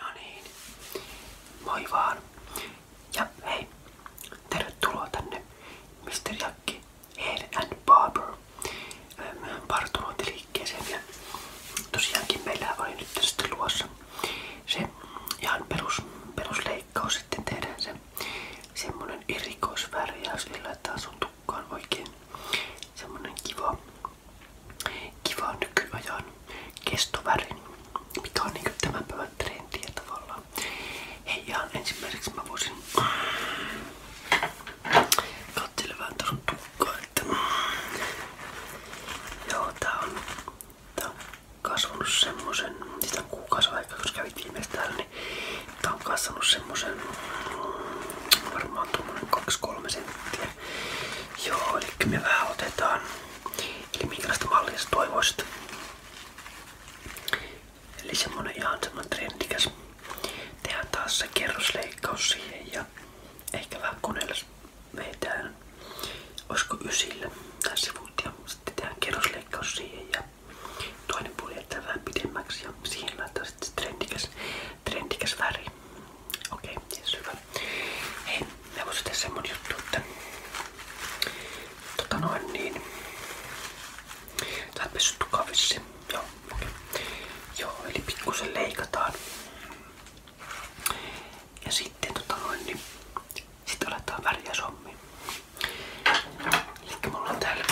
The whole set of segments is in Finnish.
No niin, moi vaan. Ja hei, tervetuloa tänne Mr. Jakki Hair and Barber partumointiliikkeeseen. Ja tosiaankin meillä oli nyt tästä luossa se ihan perus, perusleikkaus. Sitten tehdään se semmonen ja eli laitetaan sun tukkaan oikein semmonen kiva kiva nykyajan kestovärin, mikä on niinku tämän päivän trendiä tavallaan. Hei ihan ensimmäiseksi mä voisin katsella vähän tuossa tukkaa, että joo tää on, tää on kasvanut semmosen, sitä siis on kuukausi aikaa, koska kävit viimeis täällä, niin tää on kasvanut semmosen varmaan tuommoinen 2-3 senttiä Joo, eli me Eli minkälaista mallia sä toivoisit? Eli semmonen ihan trendikäs. Tehdään taas se kerrosleikkaus siihen ja ehkä vähän koneella vetään. Olisiko ysillä tai sivut ja sitten tehdään kerrosleikkaus siihen ja toinen puoli jätetään vähän pidemmäksi trendikäs, trendikäs väri. Okei, okay, yes, hyvä. Hei, me voisi tehdä semmonen juttu, että tota noin niin. Tää on pessyt tukavissi. Joo, okay. Joo, eli pikkusen leikataan. Ja sitten tota noin niin. Sitten aletaan väriä sommiin. Elikkä mulla on täällä.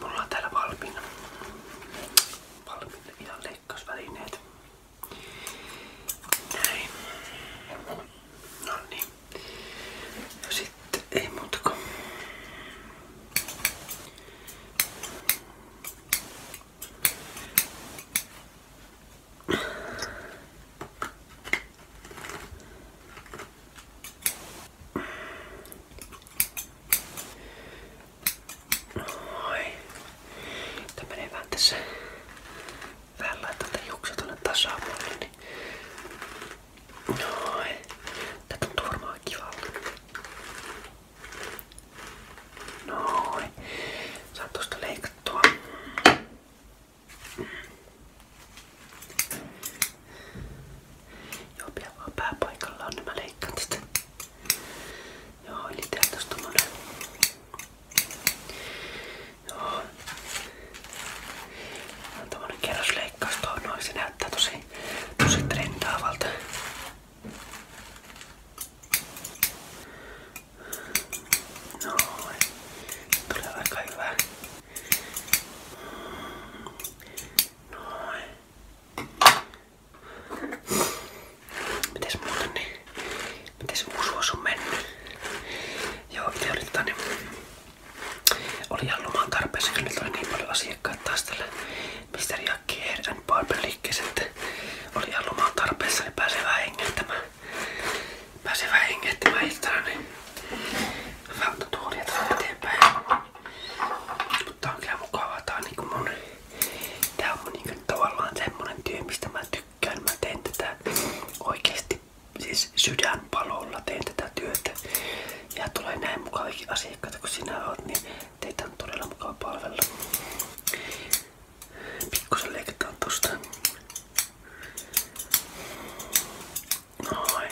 Mulla on täällä valmiina. Valmiina ihan leikkausvälineet. Näin. No niin. No sitten ei muuta kuin. Noin. Tämä menee vähän tässä. Vähän laitan tämän juuksen tuonne tasapuolelle. Niin. Noin. Tää tuntuu varmaan kivalta. Noin. Saat tuosta leikattua. Joo, pian vaan pääpaikallaan, niin mä leikkaan tästä. Joo, eli täällä tos tommonen. Joo. On tommonen kerrosleikkaus tuo noin. Se näyttää tosi, tosi trendaavalta. Noin. Tulee aika hyvä. Noin. Mites muuten niin? Joo, itse niin oli tota niin, nyt oli niin paljon asiakkaita taas tällä Mr. Jakki Hair and Barber liikkeessä, että oli ihan loman tarpeessa, niin pääsee niin Mutta kyllä mukavaa, tää on niin Tää on mun niinku tavallaan semmonen työ, mistä mä tykkään. Mä teen tätä oikeesti siis sydänpalolla teen tätä työtä. Ja tulee näin mukavia asiakkaita, kun sinä oot, niin teitä on todella mukava palvella. Pikkusen leikataan tosta. Noin.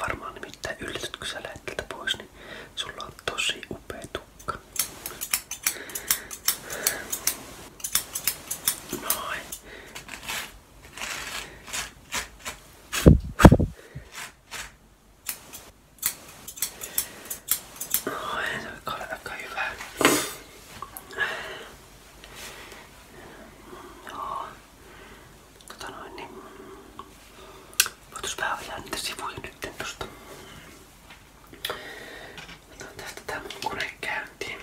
varmaan nimittäin yllätyt, kun sä lähet niin sulla on tosi upea tuo Jukka. Moi. Moi, se on aika hyvä. Joo. Tota noin, niin voitais vähän ajaa niitä sivuja nytten tosta. Otan tästä tää mun kone käyntiin.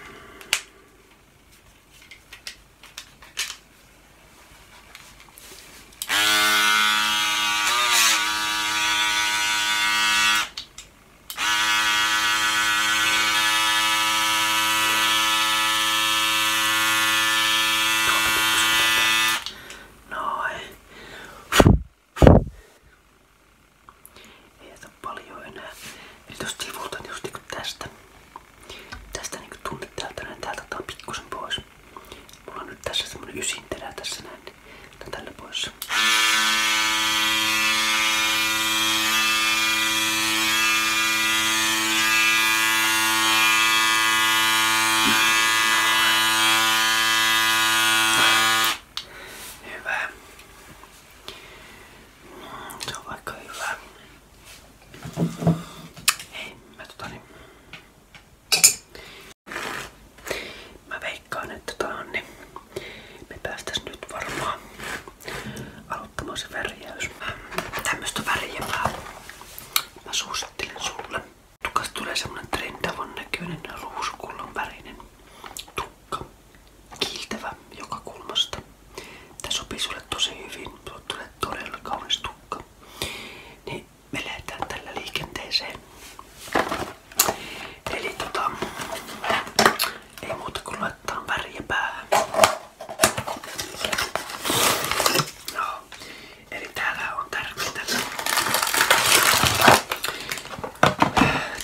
Noin. Ei jätä paljon enää. Eli tosta sivulta, just niinku tästä. Tästä niinku tunnet täältä näin, täältä ottaa pikkusen pois. Mulla on nyt tässä semmonen ysinterä tässä näin, niin tälle pois. Hyvä. Se on vaikka hyvä. Hei, mä tota niin. Mä veikkaan, että tää tota on niin. Me päästäis nyt varmaan aloittamaan se värjäys. Tämmöstä värjävää mä suosittelen sulle. Tukas tulee semmonen trendavon näköinen ruusukullon värinen tukka. Kiiltävä joka kulmasta. Tää sopii sulle tosi hyvin. Sulle tulee todella kaunis tukka. Niin me lähdetään tällä liikenteeseen. Eli tota, ei muuta kuin laittaa väriä päähän. No, eli täällä on tärkeintä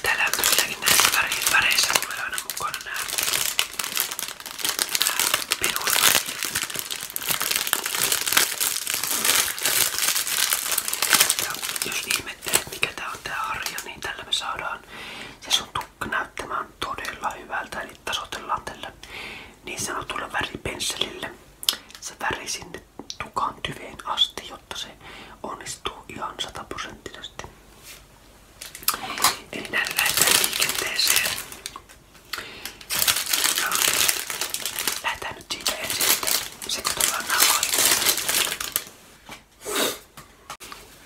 Täällä tosiaankin näissä väreissä tulee aina mukana nää perusvärit. Ja jos ihmettelet mikä tää on tää harja, niin tällä me saadaan se sun tukka näyttämään hyvältä. Eli tasoitellaan tällä niin sanotulla väripensselillä se väri sinne tukan tyveen asti, jotta se onnistuu ihan sataprosenttisesti. Eli näin lähdetään liikenteeseen. Ja lähdetään nyt siitä ensin, että sekoitellaan nämä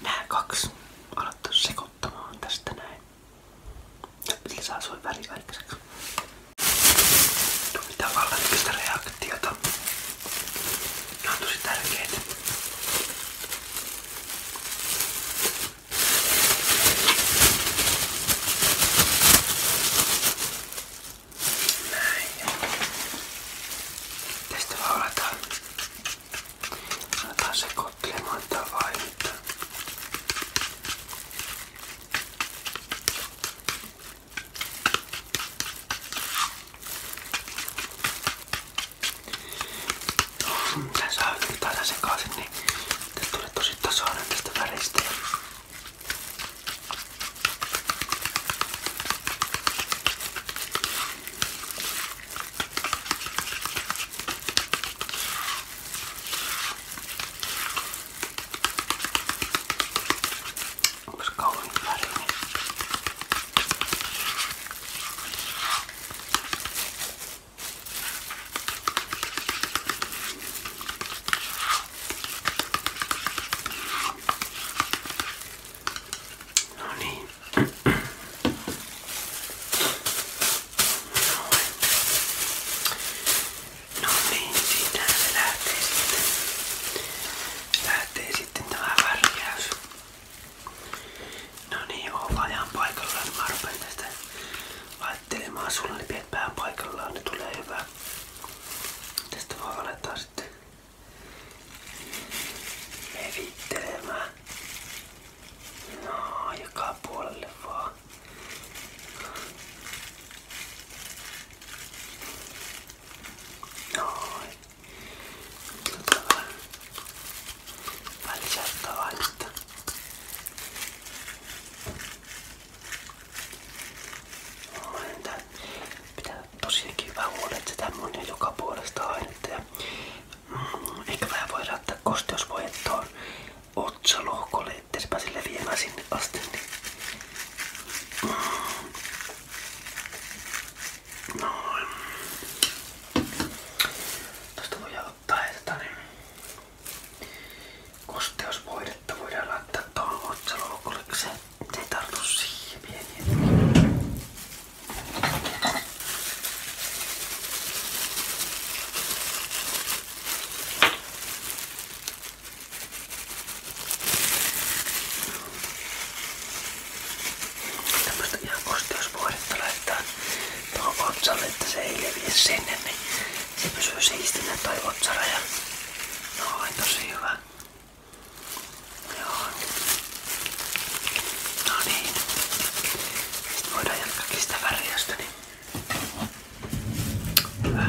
Nää kaksi aloittaa sekoittamaan tästä näin. Lisää soi väliaikaiseksi mitään vallannykyistä reaktiota. Ne on tosi tärkeitä. Näin. Tästä vaan aletaan, aletaan sekoittelemaan tätä vaimetta. Tän saa yhtään sen sekaisin, niin tästä tulee tosi tasainen tästä väristä. Onko se kauniin värinen? No niin. No niin, siitä se lähtee sitten lähtee sitten tämä värjäys. No niin, oon vajaan paikallaan. Niin mä rupean tästä laittelemaan sulle ne piet pään paikallaan, niin tulee hyvä. Tästä voi aletaan sitten levittelemään. No, joka puolelle vaan. Noin. Nyt on vähän lisättä laitetta. Pitää tosiaankin hyvää huolta, että sitä on joka puolesta ainetta. Ja, mm, ehkä vähän voi saattaa kosteusvoittoon otsalohkolle, ettei se pääse leviämään sinne asti. Niin. Mm. Noin. Tuosta voidaan ottaa tätä niin kosteusvoidetta voidaan laittaa tuohon otsaloukulle, kun se ei tartu siihen pieniä. Tämmöstä ihan kosteusvuodetta laittaa tuohon otsalle, että se ei leviä sinne, niin se pysyy siistinä toi otsaraja. No, on tosi hyvä. Joo. No niin. Sitten voidaan jatkaakin sitä väriästä, niin hyvä.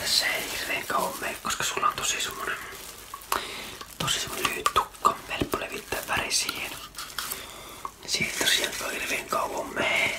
Tässä ei hirveen kauan mene, koska sulla on tosi semmonen, tosi semmonen lyhyt tukka. Helppo levittää väri siihen. Siitä tosiaan ei hirveen kauan mene.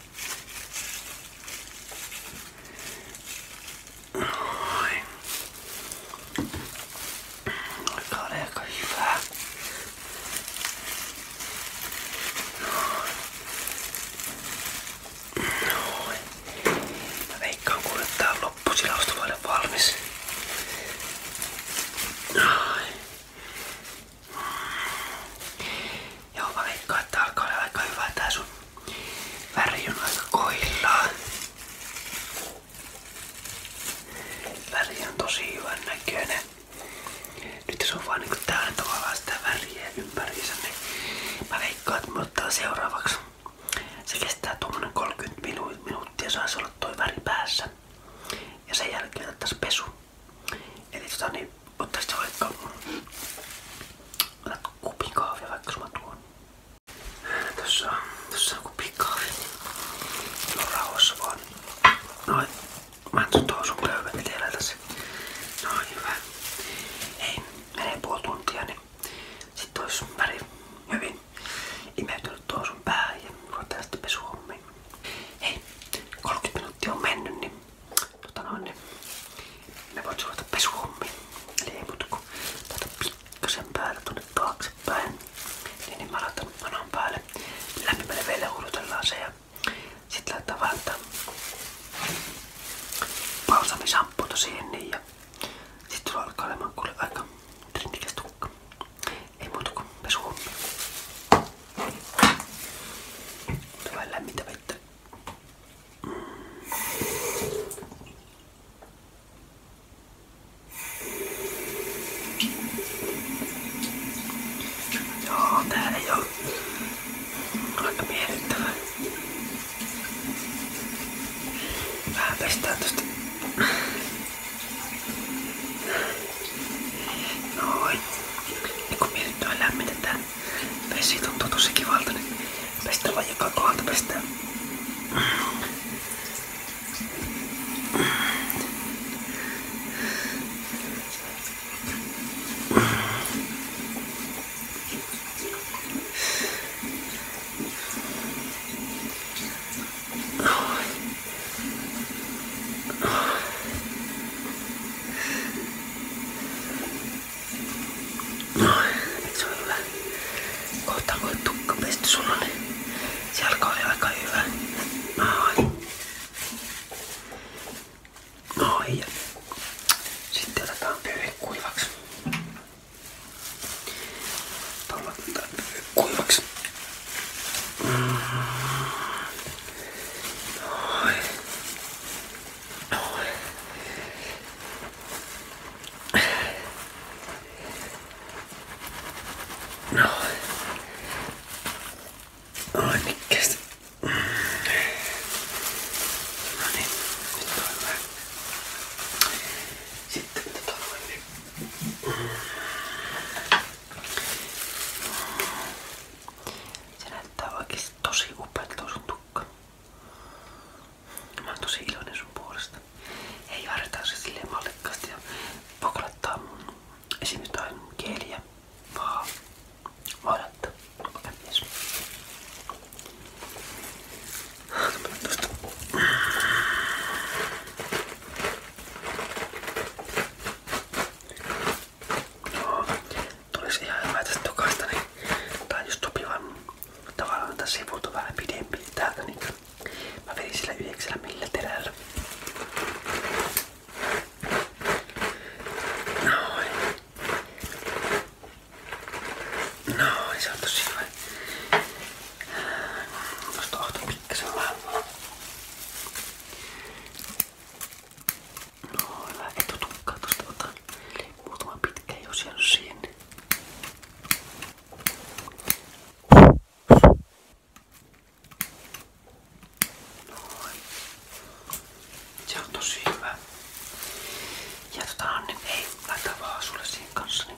Noin. Olkaa aika hyvää. Noin. Mä veikkaan kuule tää on loppusilausta vaille valmis. Noin. Joo, mä veikkaan, että alkaa olla aika hyvä tää sun väri on aika koillaan. Väri on tosi hyvän näköinen. Nyt se on vaan niinku täällä tavallaan sitä väriä ympäriinsä, niin mä veikkaan, että me ottaa seuraavaksi. Se kestää tuommoinen 30 minu minuuttia, saisi olla toi väri päässä. Ja sen jälkeen otettaisiin pesu. Eli tota niin, ottaisiin vaikka Otat kupin kahvia vaikka mä tuon. Tässä on, tässä on kupin kahvia. No rauhassa vaan. Noin. Mä en tuon sun pöydän etelä tässä. Noin hyvä. Ei, menee puoli tuntia niin sit ois väri hyvin imeytynyt tuon sun päähän ja ruvetaan sitten pesuhommiin. Hei, 30 minuuttia on mennyt niin tota noin, niin me voit ruveta pesuhommiin. Eli ei muuta kuin tätä pikkasen päälle tuonne taaksepäin. Niin, niin mä laitan manon päälle. Lämpimälle vielä huudutellaan se ja sit laittaa vaan balsamisampuuta siihen niin ja sit sulla alkaa olemaan kuule aika Ei muuta kuin pesuhommia. Ota Joo, tää ei oo aika miellyttävä. Vähän pestään tosta. Noin. kun miellyttävä lämmitetään, Vesi tuntuu tosi kivalta, niin pestellään joka kohdalta pestään. No, eikö se ole hyvä? Kohta voi tukka pesty sulla, niin se alkaa oli aika hyvä. Noin. Noin. Ja sitten otetaan pyyhe kuivaksi. Tuolla otetaan pyyhe kuivaksi. Mm. Noin. No. Ai no niin, mikäs. No niin, nyt on hyvä. Sitten tota noin niin. Se näyttää oikeesti tosi upealta sun tukka. Mä oon tosi iloinen sun puolesta. Ei harjoittaa se silleen mallikkaasti ja poklattaa mun esim. jotain kieliä, vaan vaadetta. Okei, mies. Tuosta. No, tulisi ihan hyvä tästä jokaista, niin tai jos sopivan tavallaan tässä sivut on vähän pidempi täältä, niin mä vedin sillä yhdeksällä millä terällä. Noin. Noin, se on tosi hyvä. Tuosta ohto pikkasen vähän. Noin, vähän etutukkaa tuosta otan. Muutama pitkä jos jäänyt sinne. Noin. Se on tosi hyvä. Ja tota Anni, ei, laita vaan sulle siihen kanssa. Niin.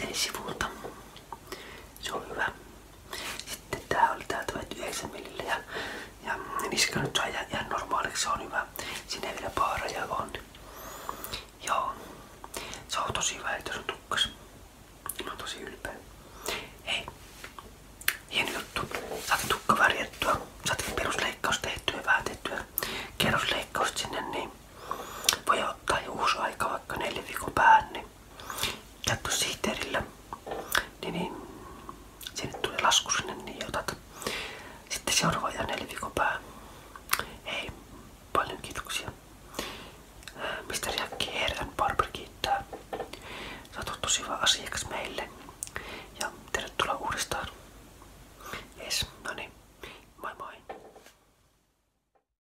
eli sivulta. Se oli hyvä. Sitten tää oli täältä 9 millillä ja, ja niska nyt saa ihan normaaliksi, se vielä paaraja on. Joo. Se on tosi hyvä, että se on tukkas. Mä oon tukka värjättyä. Saatiin perusleikkaus tehtyä, vähän tehtyä kerrosleikkausta sinne, niin voi ottaa jo uusi aika vaikka neljä viikon päähän, niin käyttö sihteerillä, niin, niin sinne tulee lasku sinne, niin otat sitten seuraava ja neljä viikon päähän. Hei, paljon kiitoksia. Mr. Jack Herran Barber kiittää. Sä oot tosi hyvä asiakas meille. Ja tervetuloa uudestaan. Jes, no niin. Moi moi.